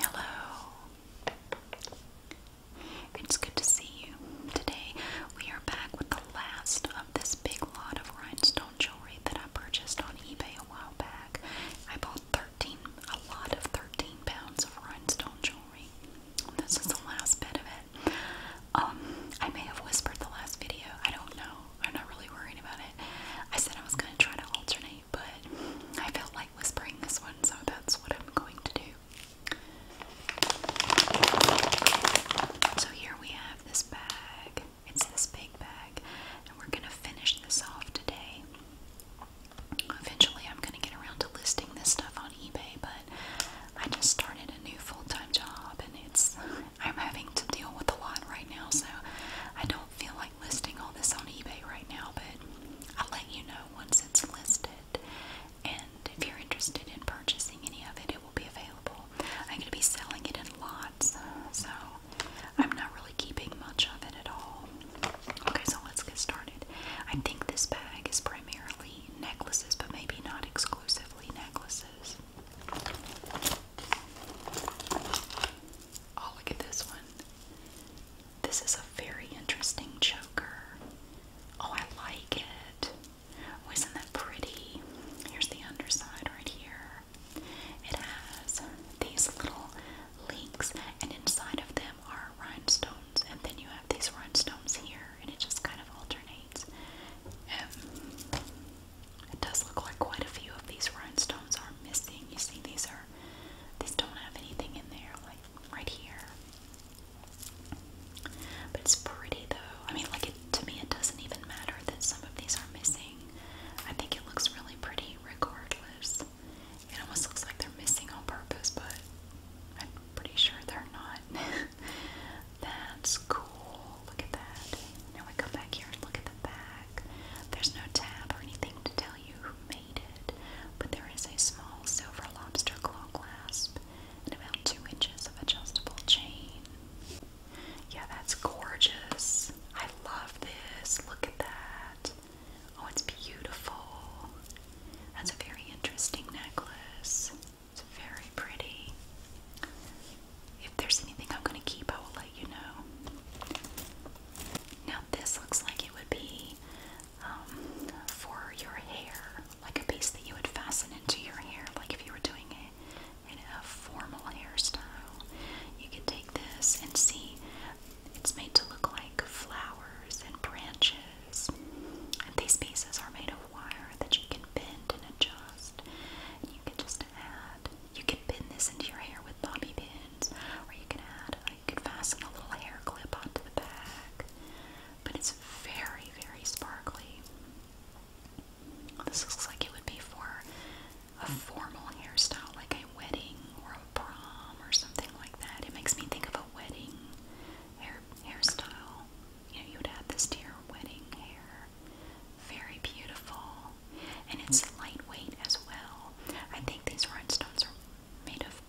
Hello. It's good to see you. Today we are back with the last of this big lot of rhinestone jewelry that I purchased on eBay a while back. I bought 13 a lot of 13 pounds of rhinestone jewelry. This is the last bit of it. Um I may have whispered the last video. I don't know. I'm not really worrying about it. I said I was going to try to alternate, but I felt like whispering this one, so that's what I'm going to do. So here we have this bag. It's this big bag, and we're going to finish this off today. Eventually, I'm going to get around to listing this stuff on eBay, but I just started a new full time job, and it's I'm having to deal with a lot right now, so I don't feel like listing all this on eBay right now, but I'll let you know once it's listed. And if you're interested in purchasing any of it, it will be available. I'm going to be selling it in lots, so I'm not really keeping much of it at all. Okay, so let's get started. I think this bag is primarily necklaces, but maybe not exclusively necklaces. Oh, look at this one. This is a very interesting choker. Oh, I like it. Oh, isn't that pretty? Here's the underside right here. It has these little links, and inside of them are rhinestones, and then you have these rhinestones here, and it just kind of alternates. Um, it does look like quite a few of these rhinestones are missing. You see, these are these don't have anything in there, like right here. But it's pretty though. I mean, like to me, it doesn't even matter that some of these are missing. I think it looks really pretty regardless. It almost looks like they're missing on purpose, but I'm pretty sure they're not. That's cool. Look at that. Now we go back here and look at the back. There's no tab or anything to tell you who made it, but there is a small silver lobster claw clasp and about two inches of adjustable chain. Yeah, that's gorgeous. I love this. Look at that. Oh, it's beautiful. That's a very interesting necklace. It's very pretty. If there's anything I'm going to keep, I will let you know. Now, this looks like it would be um, for your hair, like a piece that you would fasten into your hair, like if you were doing a, formal hairstyle. You can take this and see it's made to look like flowers and branches. And these pieces are made of wire that you can bend and adjust just add, you can pin this into your hair with bobby pins, or you can add, uh, you can fasten a little hair clip onto the back. But it's very, very sparkly. This looks like it would be for a formal hairstyle, like a wedding or a prom or something like that. It makes me think of a wedding hair hairstyle you know, you would have this dear wedding hair. Very beautiful. And it's lightweight as well. I think these rhinestones are made of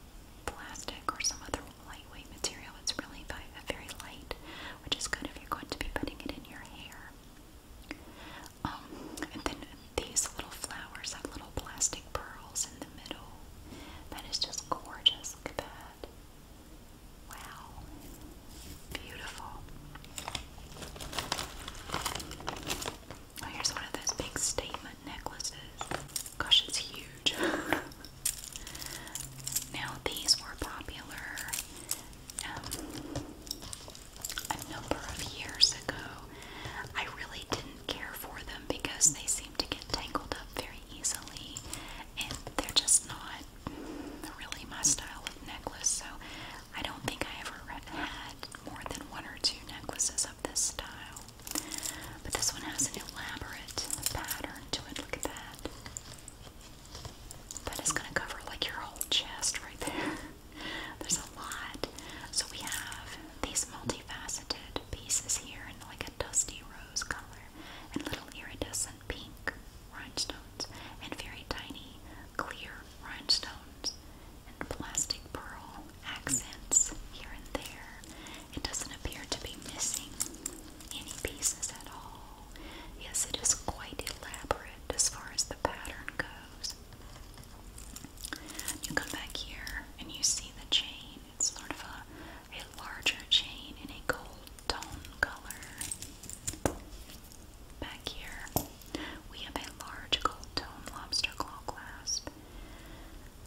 plastic or some other lightweight material. It's really very light, which is good if you're going to be putting it in your hair. Um, and then these little flowers have little plastic pearls in the middle. That is just gorgeous. Look at that. Wow, beautiful. Oh, here's one of those big statement necklaces. Gosh, it's huge. now, these were popular um, a number of years ago. I really didn't care for them because they seem to get tangled up very easily and they're just not really my style of necklace, so I don't think I ever had more than one or two necklaces of this style. But this one has an elaborate pattern to it. Look at that. That is going to cover like your whole chest right there. There's a lot. So we have these multifaceted pieces here in like a dusty rose color and little iridescent pink rhinestones and very tiny clear rhinestones and plastic pearl accents here and there. It doesn't appear to be missing any pieces at all. Yes, it is quite elaborate as far as the pattern goes. You come back here and you see the chain. It's sort of a, a larger chain in a gold tone color. Back here, we have a large gold tone lobster claw clasp,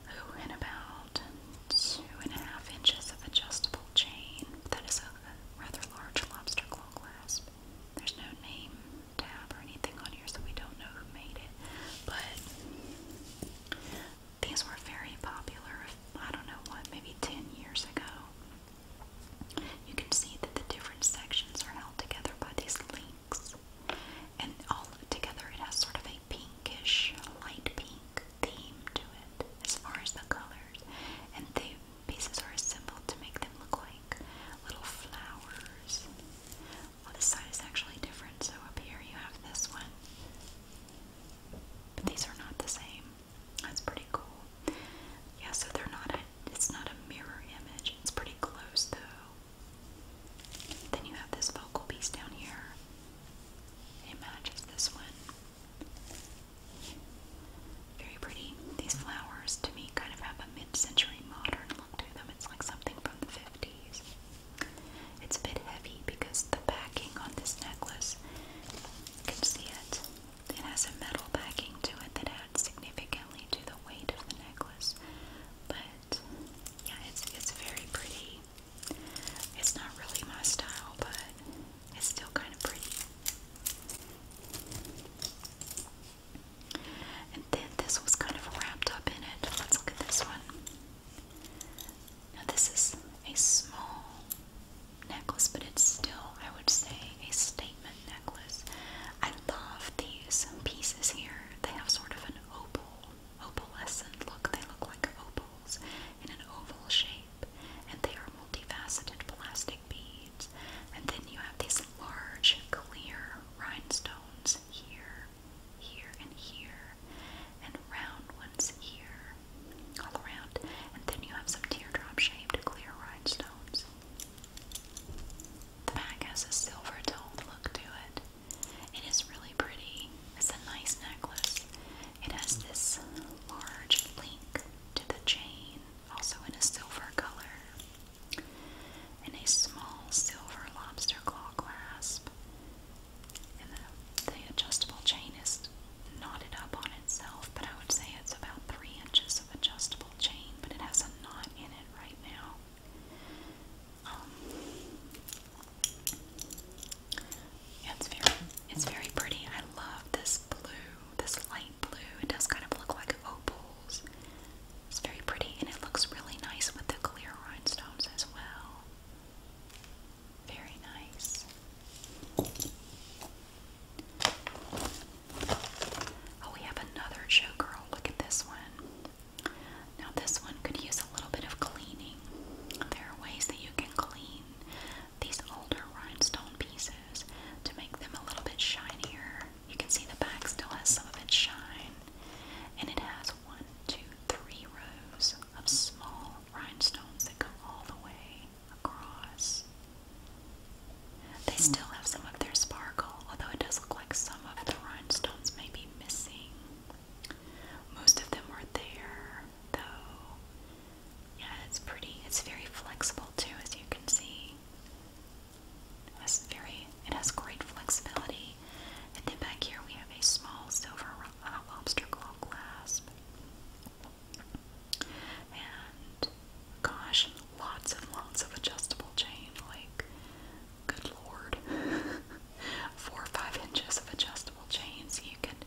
who in about two and a half inches of adjustable chain. That is a rather large lobster claw clasp. There's no name tab or anything on here, so we don't know who made it. But these were very popular, I don't know what, maybe 10 years ago. You can see that the different sections are held together by these links. And all together it has sort of a pinkish, light pink theme to it as far as the colors. And the pieces are assembled to make them look like little flowers. Well, this side is actually different, so up here you have this one. But these are not the same. That's pretty cool. Yeah, so they're not a, it's not a mirror image. It's pretty close though. Then you have this vocal piece down here. It matches this one. Very pretty. These flowers to me kind of have a mid-century modern look to them. It's like something from the 50s. It's a bit heavy because the backing on this necklace, you can see it. It has a metal backing to it that adds significantly to the weight of the necklace. But yeah, it's it's very pretty. It's not really my style, but it's still kind of pretty. And then this was kind of wrapped up in it. Let's look at this one. Now this is a small necklace, but it's still, I would say, a statement necklace. I love these pieces here. They have sort of an opal, opalescent look. They look like opals in an oval shape, and they are multifaceted plastic beads. And then you have these large, clear rhinestones here, here, and here, and round ones here all around. And then you have some teardrop shaped clear rhinestones. The back has a silver toned look to it. It is really pretty. It's a nice necklace. It has this large link to the chain, also in a silver color, and a small silver lobster claw clasp. And the adjustable chain is knotted up on itself, but I would say it's about three inches of adjustable chain, but it has a knot in it right now. Um, it's very, it's very pretty. I love this blue, this light blue. It does kind of look like opals. It's very pretty, and it looks really nice with the clear rhinestones as well. Very nice. Oh, we have another showgirl. Look at this one. Now, this one could use a little bit of cleaning. There are ways that you can clean these older rhinestone pieces to make them a little bit shinier. You can see the back still has some of its shine, and it has one, two, three rows of small rhinestones that go all the way across. They still have some of their sparkle, although it does look like some of the rhinestones may be missing. Most of them were there, though. Yeah, it's pretty. It's very flexible too, as you can see. It has very. It has great flexibility. And then back here we have a small silver uh, lobster claw clasp. And gosh, lots and lots of adjustable chain, like good lord. Four or five inches of adjustable chains. You could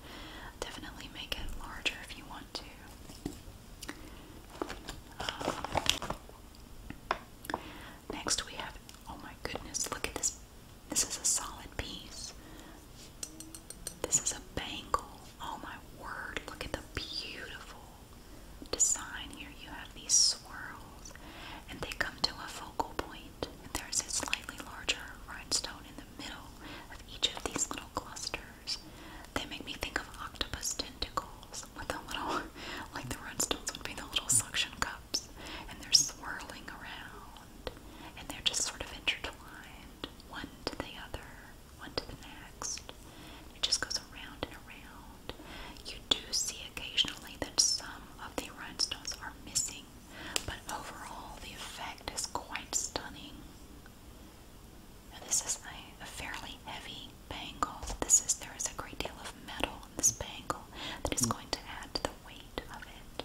definitely make it larger if you want to. Um, next we have oh my goodness, look at this. This is a solid piece. This is a bangle. Oh my word, look at the beautiful design here. You have these swirls and they come to a focal point. And there's a slightly larger rhinestone in the middle of each of these little clusters. They make me think of octopus tentacles with a little, like the rhinestones would be the little suction cups. And they're swirling around. And they're just sort of intertwined, one to the other one to the next. It just goes around and around. You do see occasionally that some of the rhinestones are missing, but overall the effect is quite stunning. this is a, fairly heavy bangle. This is there is a great deal of metal in this bangle that is hmm. going to add to the weight of it.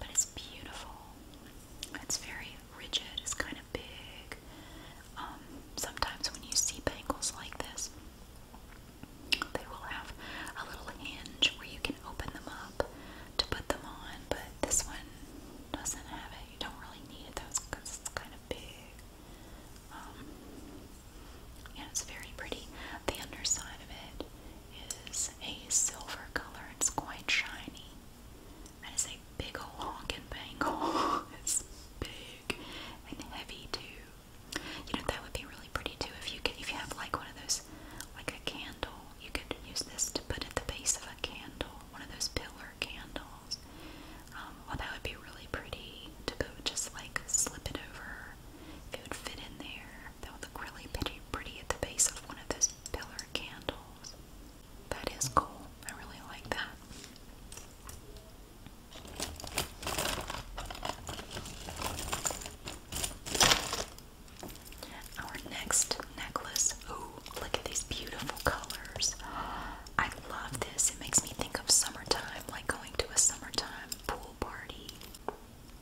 But it's beautiful. It's very rigid. It's kind of big. Um, sometimes when you see bangles like this, they will have a little hinge where you can open them up to put them on, but this one doesn't have it. You don't really need it because it's kind of big. Um, yeah, it's very pretty. The underside of it is a silver color. It's quite shiny. That is a big ol' honkin' bangle. it's big and heavy too. You know that would be really pretty too if you if you have like one of those like a candle. You could use this to put at the base of a candle, one of those pillar candles. Um, well, that would be really pretty to just like slip it over. it would fit in there, that would look really pretty, pretty at the base of one of those pillar candles. That is cool. I really like that. Our next necklace. Ooh, look at these beautiful colors. I love this. It makes me think of summertime, like going to a summertime pool party.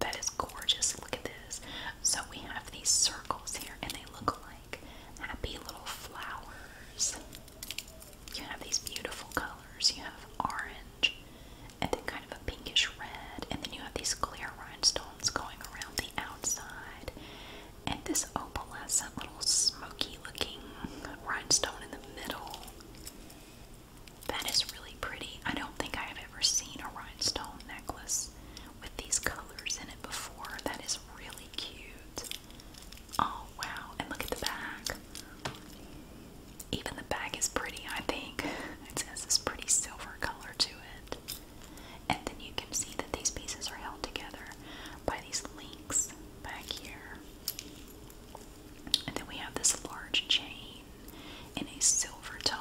That is gorgeous. Look at this. So we have these circles here and they look alike happy little flowers. You have these beautiful colors. You have orange and then kind of a pinkish red, and then you have these clear rhinestones going around the outside, and this opal has opalescent little smoky looking rhinestone in the middle. That is really pretty. I don't think I have ever seen a rhinestone necklace with these colors in it before. That is really cute. Oh wow, and look at the back. Even the back is pretty, I think. It has this pretty silver color to it. And then you can see that these pieces are held together by these links back here. And then we have this large chain in a silver tone.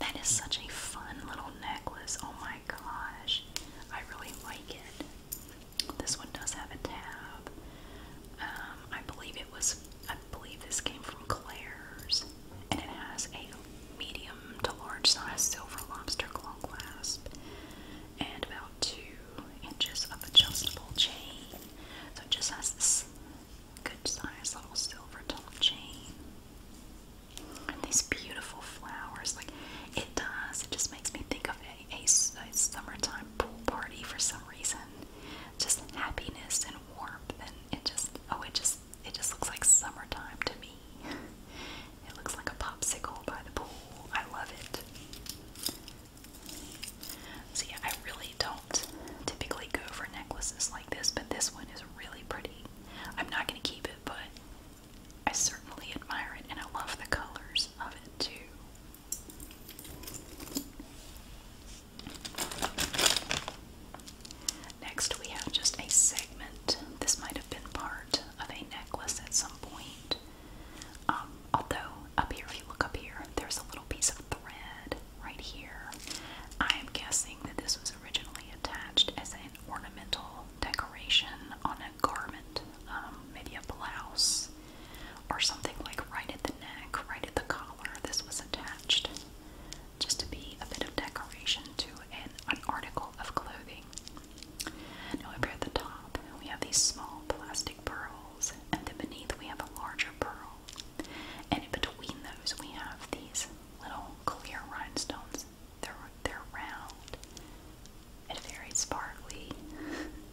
That is such a fun little necklace. Oh my gosh. I really like it. This one does have a tab. Um, I believe it was, I believe this came from Claire's. And it has a medium to large size silver lobster claw clasp. And about two inches of adjustable chain. So it just has this good sized little silver top chain. And these beautiful flowers, like it does, it just makes me think of a, a, summertime pool party for some reason. Just happiness and warmth, and it just oh, it just it just looks like summertime to me. It looks like a popsicle by the pool. I love it. See, I really don't typically go for necklaces like this, but this one is really pretty. I'm not going to keep it, but I certainly admire it and I love the colors of it too. Next, we have just a segment. This might have been part of a necklace at some point. Um, although, up here, if you look up here, there's a little piece of thread right here. I am guessing that this was originally attached as an ornamental decoration on a garment, um, maybe a blouse or something like right at the neck, right at the collar. This was attached just to be a bit of decoration to an, article of clothing. Now, up here at the top, we have these small plastic pearls, and then beneath, we have a larger pearl. And between those, we have these little clear rhinestones. They're they're round and very sparkly.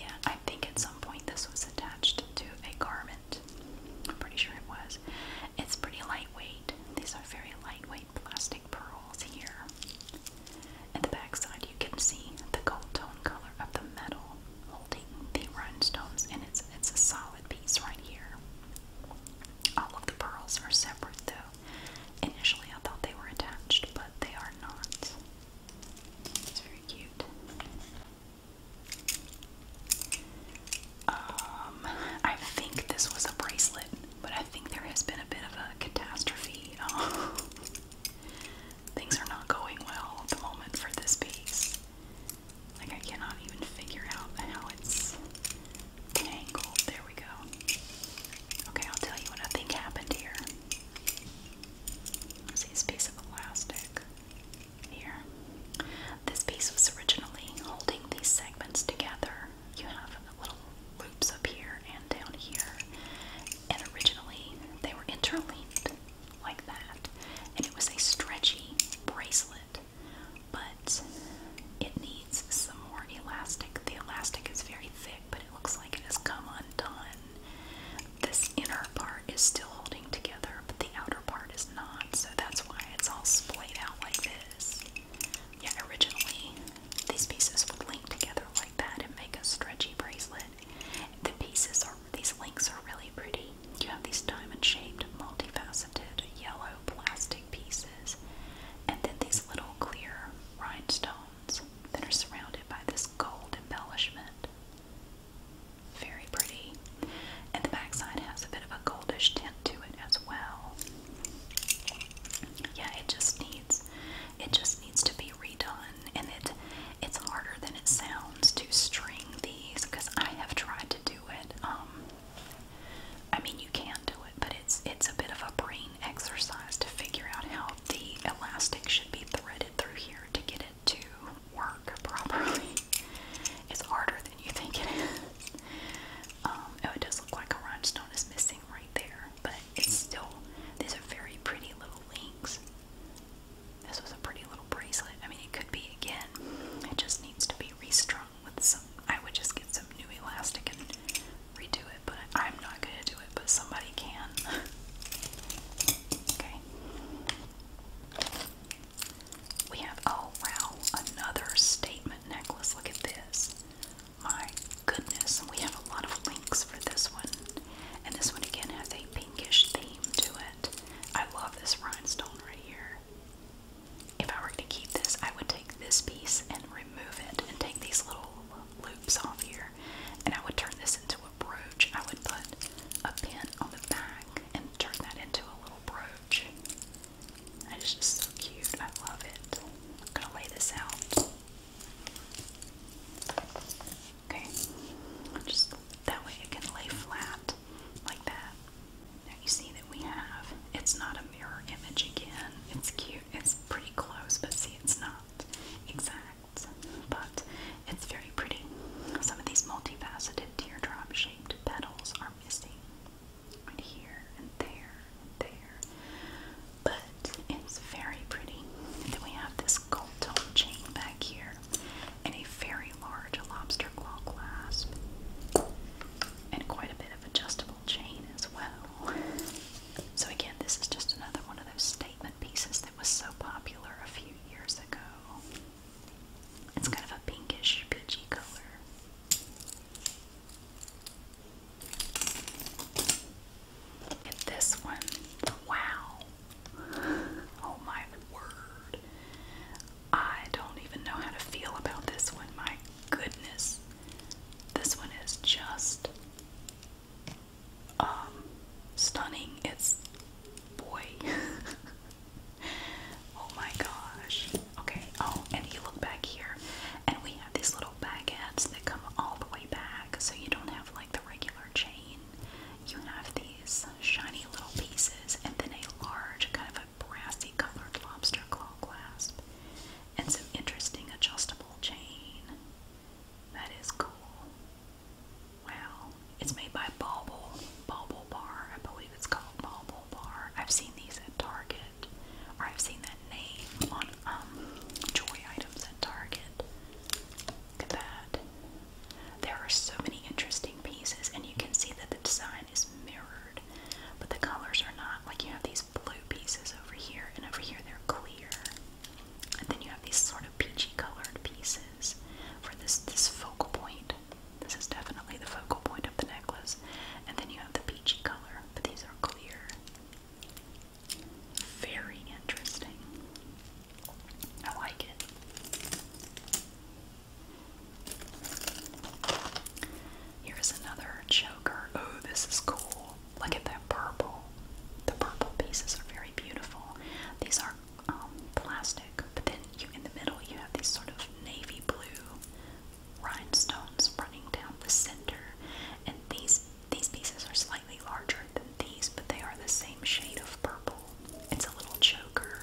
yeah, I think at some point this was attached to a garment. I'm pretty sure it was. It's pretty lightweight. These are very lightweight plastic pearls here. At the back side, you can see the gold tone color of the metal holding the rhinestones, and it's it's a solid piece right here. All of the pearls are separate though. Initially I thought they were attached, but they are not. It's very cute. Um, I think this was a bracelet, but I think there has been a bit of a catastrophe. Things are not going well at the moment for this piece. Like I cannot even figure out how it's angled. There we go. Okay, I'll tell you what I think happened here. See this piece of elastic here. This piece was originally holding these segments together. You have little loops up here and down here. And originally they were interlinked like that. And it was a stretchy bracelet but it needs some more elastic. The elastic is very thick, but it looks like it has come undone. This inner part is still holding together, but the outer part is not, so that's why it's all splayed out like this. Yeah, originally these pieces would link together like that and make a stretchy bracelet. The pieces are, these links are really pretty, you have these diamond shaped, multifaceted yellow plastic pieces, and then these little clear rhinestones that are surrounded by this gold embellishment. Very pretty. And the backside has a bit of a goldish tint to it as well. Yeah, it just needs it just needs to be redone and it it's harder than it sounds to string these because I have tried to do it um, I mean, you can do it, but it's it's a bit of a brain exercise to figure out how the elastic should be threaded through here to get it to work properly. It's harder than you think it is. Um, oh, it does look like a rhinestone is missing right there, but it's still. These are very pretty little links. This was a pretty little bracelet. I mean, it could be again. It just needs to be be with some. I would just get some new elastic and redo it, but I'm not going to do it, but somebody can. okay. We have, oh wow, another statement necklace. Look at this. My goodness, we have a lot of links for this one. And this one again has a pinkish theme to it. I love this rhinestone right here. If I were to keep this, I would take this piece and remove it and take these little loops off here and I would turn this into a brooch. I would put a pin on the back and turn that into a little brooch. That is just so cute. I love it. I'm gonna lay this out. Okay, just that way it can lay flat like that. Now you see that we have, it's not a mirror image again. It's cute, it's pretty close, but see it's not exact, but it's very pretty. Some of these multifaceted teardrop shaped petals are missing. Right here and there there. But it's very pretty. Then we have this gold chain back here and a very large lobster claw clasp, and quite a bit of adjustable chain as well. So, again, this is just another one of those statement pieces that was so popular a few years ago. It's kind of a pinkish, peachy color. And this one, wow! Oh my word! I don't even know how to feel about this one. My goodness. This one is just um, stunning. It's boy. oh my gosh. Okay. Oh, and you look back here and we have these little baguettes that come all the way back so you don't have like the regular chain. You have these shiny little pieces and then a large kind of brassy colored lobster claw clasp and some interesting adjustable chain. That is cool. Wow. It's made by Bauble. Bauble Bar. I believe it's called Bauble Bar. I've seen these at Target. Or I've seen that name on um, joy items at Target. Look at that. There are so many interesting pieces, and you can see that the design is mirrored, but the colors are not. Like you have these blue pieces over here, and over here they're clear, and then you have these sort of peachy colored pieces for this this focal point. This is definitely the focal point of the necklace, and then you have the peachy color, but these are clear. Very interesting. I like it. Here's another choker. Oh, this is cool. Look at that purple. The purple pieces are very beautiful. These are um, plastic, but then you, in the middle you have these sort of navy blue rhinestones running down the center, and these these pieces are slightly larger than these, but they are the same shade of purple. It's a little choker.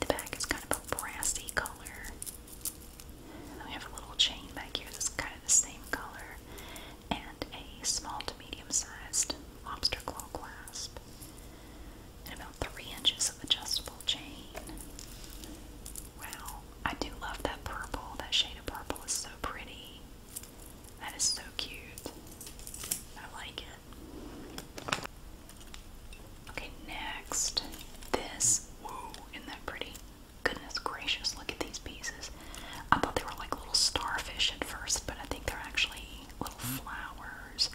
The back is kind of a brassy color. we have a little chain back here that's kind of the same color. And a small to medium sized lobster claw clasp. And about three inches of adjustable chain. Wow, I do love that purple. That shade of purple is so pretty. That is so cute. I like it. Okay, next. This. isn't that pretty? Goodness gracious, look at these pieces. I thought they were like little starfish at first, but I think they're actually little hmm. flowers.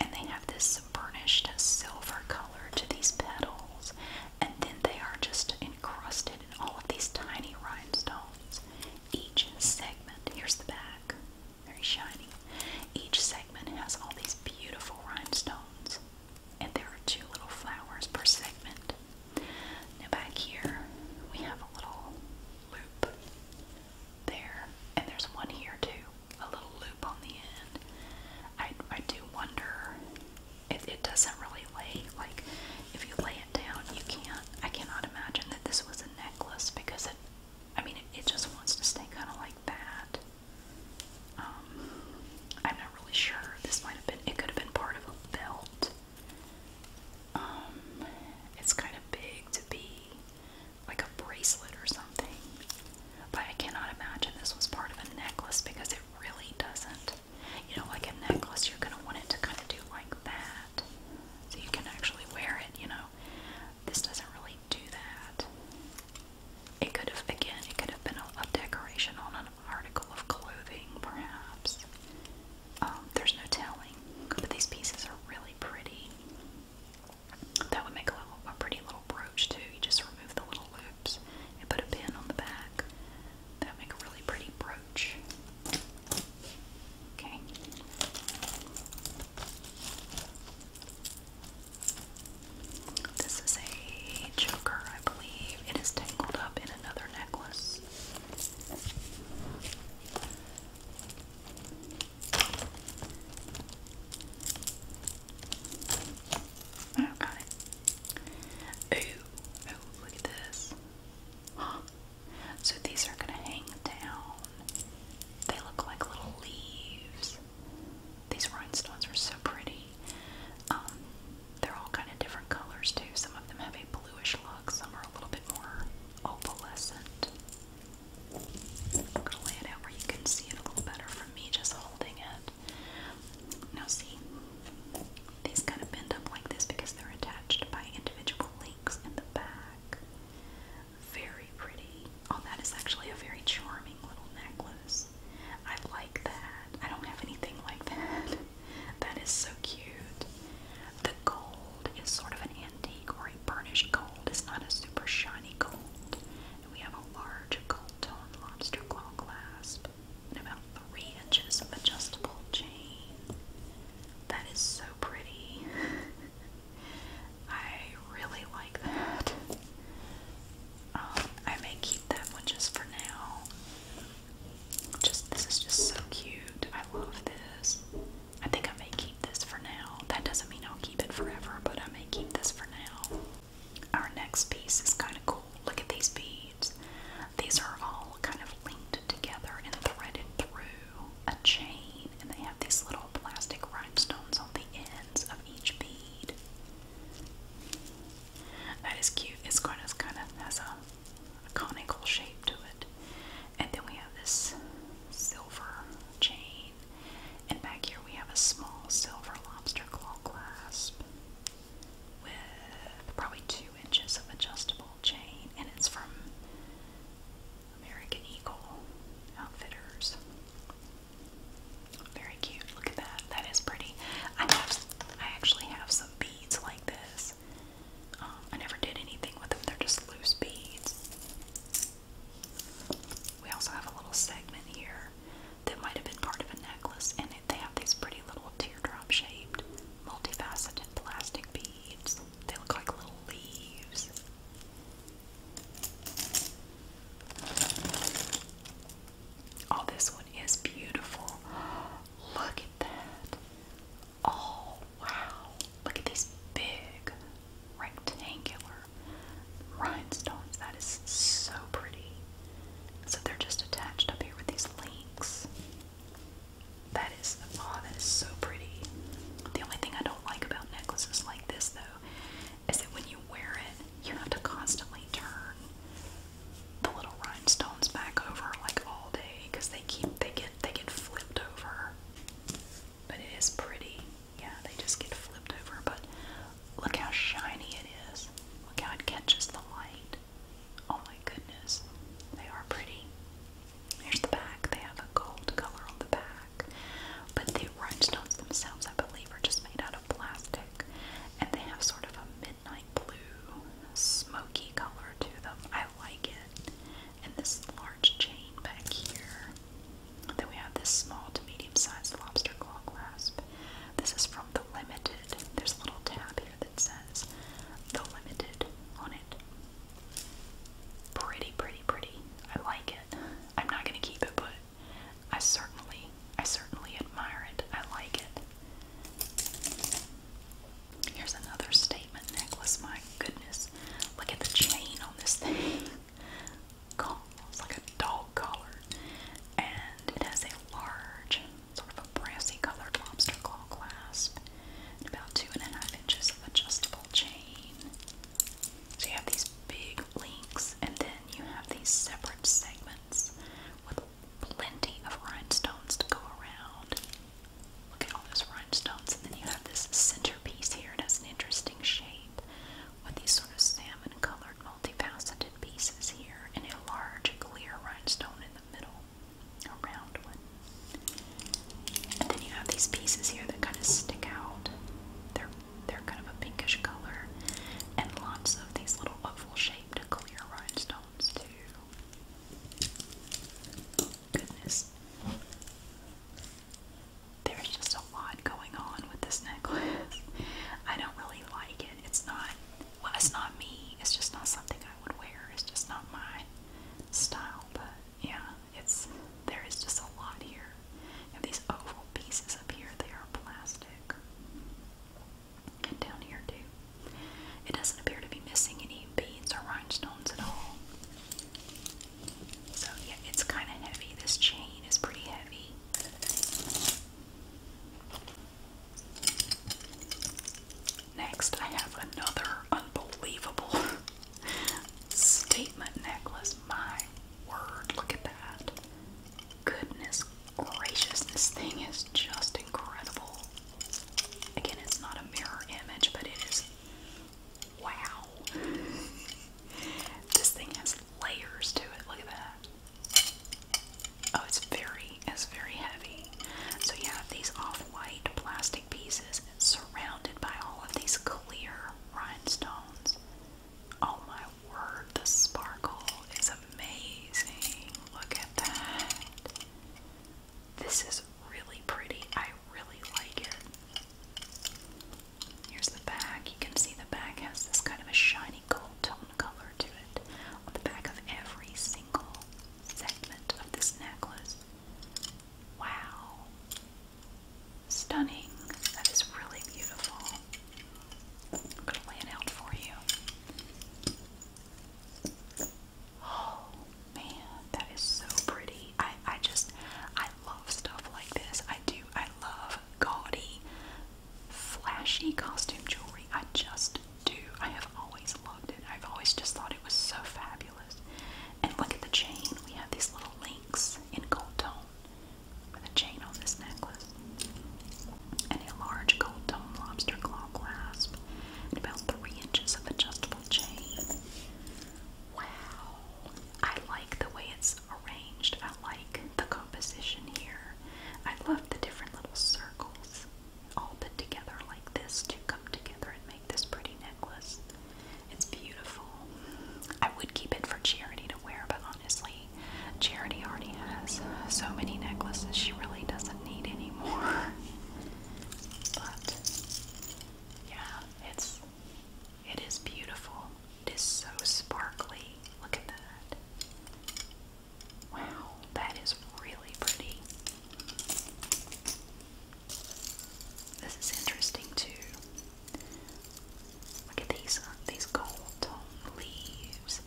And they have this burnished silver color to these petals. And then they are just encrusted in all of these tiny rhinestones. Each segment, here's the back very shiny. Each segment has all these beautiful rhinestones, and there are two little flowers per segment. Now, back here, we have a little loop there, and there's one here too, a little loop on the end. I, I do wonder if it doesn't really lay, like, if you lay it down, you can't. I cannot imagine that this was a necklace because it I mean, it, just wants to stay kind of like that. Um, I'm not really sure. This might have been, it could have been part of a belt. Um, it's kind of big to be like a bracelet or something. But I cannot imagine this was part of a necklace because it really doesn't. You know, like a necklace, you're going to want it to kind of do like that. So you can actually wear it, you know. This doesn't really do that. It could have, again, it could have been a, decoration on an article of clothing, perhaps. Um, there's no telling, but these pieces are really pretty. That would make a pretty little brooch too. You just remove the little loops and put a pin on the back. That would make a really pretty brooch. Okay. This is a choker, I believe. It is tangled up in another necklace. Oh, got it. Ooh, oh, look at this. So these are going to hang down. They look like little leaves. These rhinestones are so pretty. Um, they're all kind of different colors too. Some of them have a bluish look, some are a little bit more opalescent. I'm gonna lay it out where you can see it a little better from me just holding it. Now see, these kind of bend up like this because they're attached by individual links in the back. Very pretty. Oh, that is actually a very charming little necklace. I like that. I don't have anything like that. That is so cute. The gold is sort of an antique or a burnished gold. It's not a super shiny gold. And we have a large gold tone lobster claw clasp and about three inches of adjustable chain. That is so pretty. I really like that. Um, I may keep that just for now. Just this is just so cute. I love this. I think I may keep this for now. That doesn't mean I'll keep it forever, but I may keep this for now. Our next piece is kind of cool. Look at these beads. These are all kind of linked together and threaded through a chain and they have these little plastic rhinestones on the ends of each bead. That is cute. It's kind of, kind of has a conical shape to it. And then we have this silver chain. And back here we have a small silver lobster claw clasp with probably two inches of adjustable chain. And it's from American Eagle outfitters. Very cute. Look at that. That is pretty. I have, I actually have some beads like this. Um, I never did anything with them. They're just loose beads. We also have a little segment here that might have been part of a necklace, and they have these pretty little teardrop-shaped, multifaceted plastic beads. They look like little leaves. Oh, this one is beautiful. Look at that. Oh, wow. Look at these big rectangular rhinestones. That is so pretty. So they're just attached up here with these links. That is, oh, that is so pretty. The only thing I don't like about necklaces like this, though, is that when you wear it, you have to constantly turn the little rhinestones back over like all day because they keep they get they get flipped over. But it is pretty. Yeah, they just get flipped over, but look how shiny it is. Look how it catches the light. Oh my goodness. They are pretty. Here's the back. They have a gold color on the back. But the rhinestones themselves, I believe, are just made out of plastic. And they have sort of a midnight blue, smoky color to them. I like it. And this large chain back here. Then we have this small to medium sized lobster claw clasp. This is from The Limited. There's a little tab here that says The Limited on it. Pretty, pretty, pretty. I like it. I'm not gonna keep it, but I certainly, I certainly admire it. I like it. Here's another statement necklace. My goodness, look at the chain on this thing. it's like a dog collar, and it has a large, sort of a brassy colored lobster claw clasp, about two and a half inches of adjustable chain. So you have these big links, and then you have these separate segments with plenty of rhinestones to go around. Look at all those rhinestones, and then you have this centerpiece here. It has an interesting shape with these sort of salmon-colored, multifaceted pieces here, and a large clear rhinestone in the middle, a round one. And then you have these pieces here that kind of stick out. They're they're kind of a pinkish color, and lots of these little oval-shaped clear rhinestones too. Goodness, there's just a lot going on with this necklace. I don't really like it. It's not well, it's not me. It's just not something I would wear. It's just not my style. But yeah, it's there is just a lot here. You have these oval pieces up here, they are plastic. And down here too. It doesn't appear to be missing any beads or rhinestones at all. So yeah, it's kind of heavy. This chain is pretty heavy. Next, I have another unbelievable Statement necklace, my word, look at that. Goodness gracious, this thing is just incredible. Again, it's not a mirror image, but it is wow. This thing has layers to it, look at that. Oh, it's very, it's very heavy. So you these off-white plastic pieces surrounded by all of these clear rhinestones. Oh my word, the sparkle is amazing. Look at that. This is really pretty. I really like it. Here's the back. You can see the back has this kind of a shiny gold tone color to it on the back of every single segment of this necklace. Wow. Stunning. That is really beautiful. I'm going to lay it out for you. Oh, man. That is so pretty. I, I just, I love stuff like this. I do. I love gaudy, flashy costume jewelry. I just do. I have always loved it. I've always just thought it was so fabulous. And look at the chain. We have these little links in gold tone with a chain on this necklace. And a large gold tone lobster claw clasp. And about three inches of adjustable chain. Wow. I like the way it's arranged. I like the composition here. I love the different little circles all put together like this to come together and make this pretty necklace. It's beautiful. I would keep it for Charity to wear, but honestly, Charity already has so many necklaces she really doesn't need anymore. but yeah, it's it is beautiful. It is so sparkly. Look at that. Wow, that is really pretty. This is interesting too. Look at these uh, these gold tone leaves,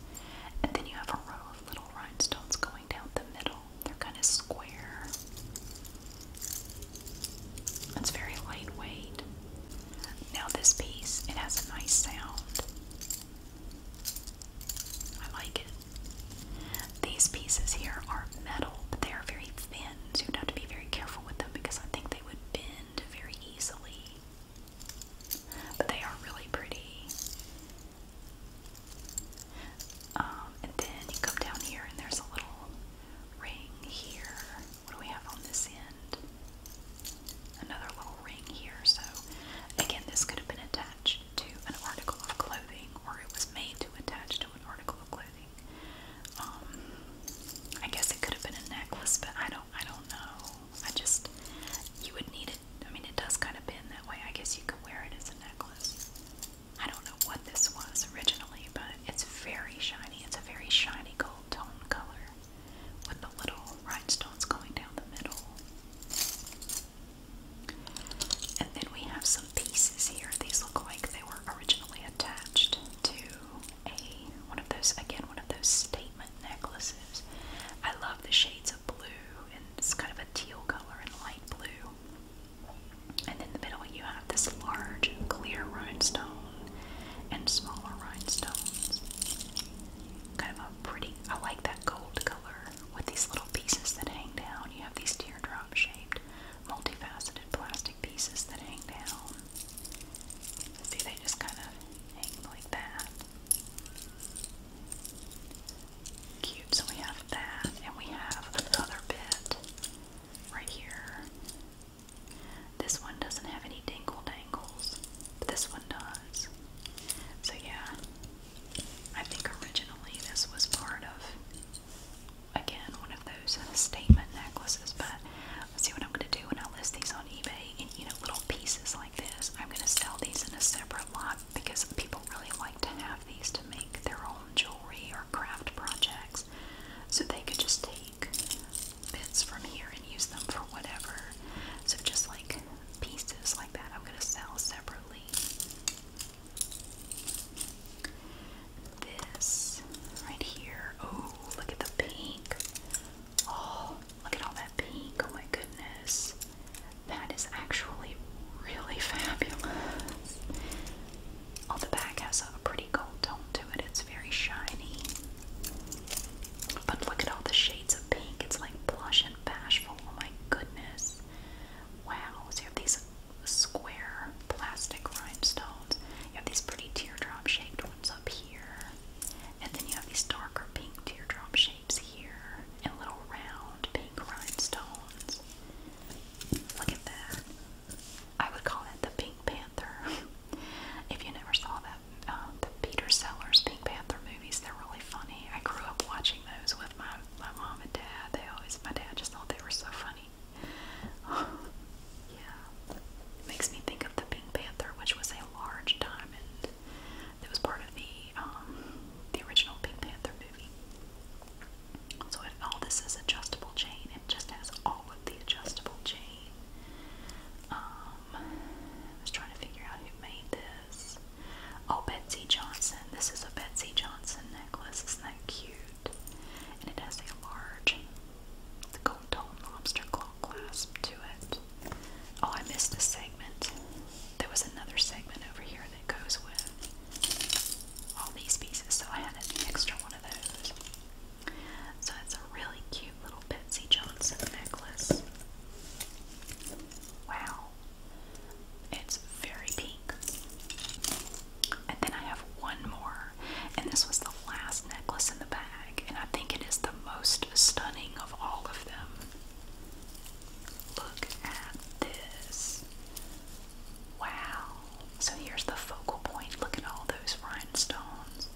and then you have a row of little rhinestones going down the middle. They're kind of square. It's very lightweight. Now this piece, it has a nice sound. I like it. These pieces here are metal, but they are very thin pins. You would have to be very careful with them because I think they would bend very easily. But they are really pretty. Um, and then you come down here and there's a little ring here. What do we have on this end? Another little ring here. So again, this could have been attached to an article of clothing or it was made to attach to an article of clothing. Um, I guess it could have been a necklace, but I don't, I don't know. I just, you would need it. I mean, it does kind of bend that way. I guess you could wear it as a necklace. I don't know what this was originally, but it's very shiny. It's a very shiny gold tone color with the little rhinestones going down the middle. And then we have some pieces here. These look like they were originally attached to a one of those again one of those statement necklaces. I love the shades of blue and it's kind of a teal color and light blue. And in the middle you have this large clear rhinestone and smaller rhinestones. Kind of a pretty I like that gold color with these little pieces that hang down. You have these teardrop shaped multifaceted plastic pieces that hang down. See, they just kind of hang like that. Cute. So we have that, and we have another bit right here. This one doesn't have any dingle dangles, but this one does. So, yeah, I think originally this was part of again one of those uh, statement necklaces, but let's see what I'm going to do when I list these on eBay. And you know, little pieces like this, I'm going to sell these in a separate lot because people really like to have these to make their own jewelry or craft projects. So they could just take bits from here and use them for whatever. So just like pieces like that, I'm going to sell separately. This right here. Oh, look at the pink. Oh, look at all that pink. Oh my goodness. That is actually really fabulous. Oh, the back has a pretty gold tone to it. It's very shiny. But look at all the shades of pink. It's like blush and bashful. Oh my goodness. Wow. So you have these square plastic rhinestones. You have these pretty teardrop shaped ones up here, and then you have these darker pink teardrop shapes here, and little round pink rhinestones. Look at that. I would call it the Pink Panther. if you never saw that, uh, the Peter Sellers Pink Panther movies, they're really funny. I grew up watching those with my, my mom and dad. They always, my dad just thought they were so funny. yeah, makes me think of the Pink Panther, which was a large diamond that was part of the um, the original Pink Panther movie. So it, all this is adjustable chain. It just has all of the adjustable chain. Um, was trying to figure out who made this. Oh, Betsy Johnson. This is a Betsy Johnson necklace. Isn't that cute? and it has a large gold tone lobster claw clasp to it. Oh, I missed a segment. There was another segment over here that goes with all these pieces, so I had an extra one of those. So it's a really cute little Patsy Johnson necklace. Wow. It's very pink. And then I have one more, and this was the last necklace in the bag, and I think it is the most stunning of all of them. Look at this. Wow. So here's the focal point. Look at all those rhinestones.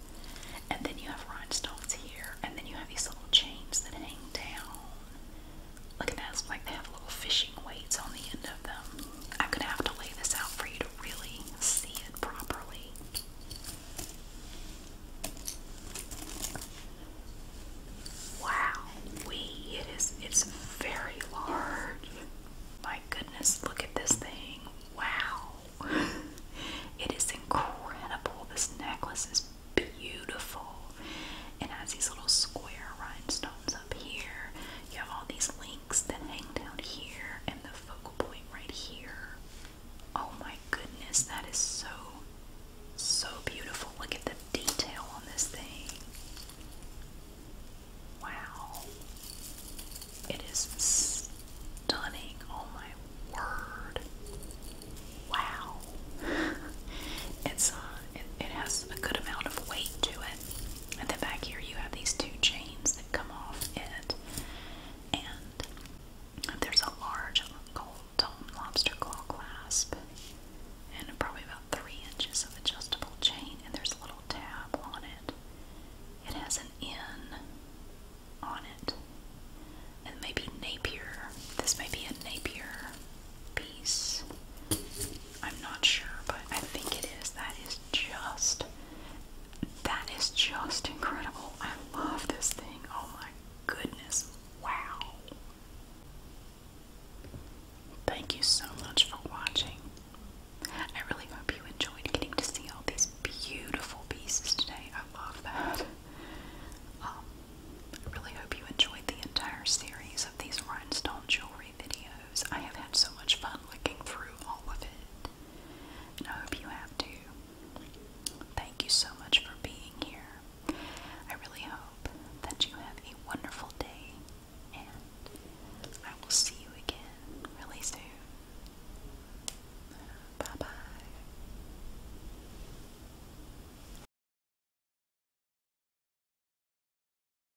And then you have rhinestones here, and then you have these little chains that hang down. Look at that. It's like they have little fishing weights on the end of them. I'm gonna have to lay this out for you to really see it properly. Wow, we it is it's very large. My goodness, look at this thing. Wow. It is incredible. This necklace is beautiful. and has these little square rhinestones up here. You have all these links that hang down here and the focal point right here. Oh my goodness, that is so, so beautiful. Look at the detail on this thing. Wow. It is stunning. Oh my word. Wow. it's uh, it has a good amount of weight to it. And then back here, you have these two chains that come off it, and there's a large gold dome lobster claw clasp, and probably about three inches of adjustable chain, and there's a little tab on it. It has an N on it, and maybe Napier. This may be a Napier piece. I'm not sure, but I think it is. That is just that is just incredible. I love this thing. Oh my goodness. Wow. Thank you so much for watching. I really hope you enjoyed getting to see all these beautiful pieces today. I love that. Um, I really hope you enjoyed the entire series of these rhinestone jewelry videos. I have had so much fun looking through all of it, and I hope you have too. Thank you so much for being here. I really hope that you have a wonderful day, and I will see you again really soon. Bye bye.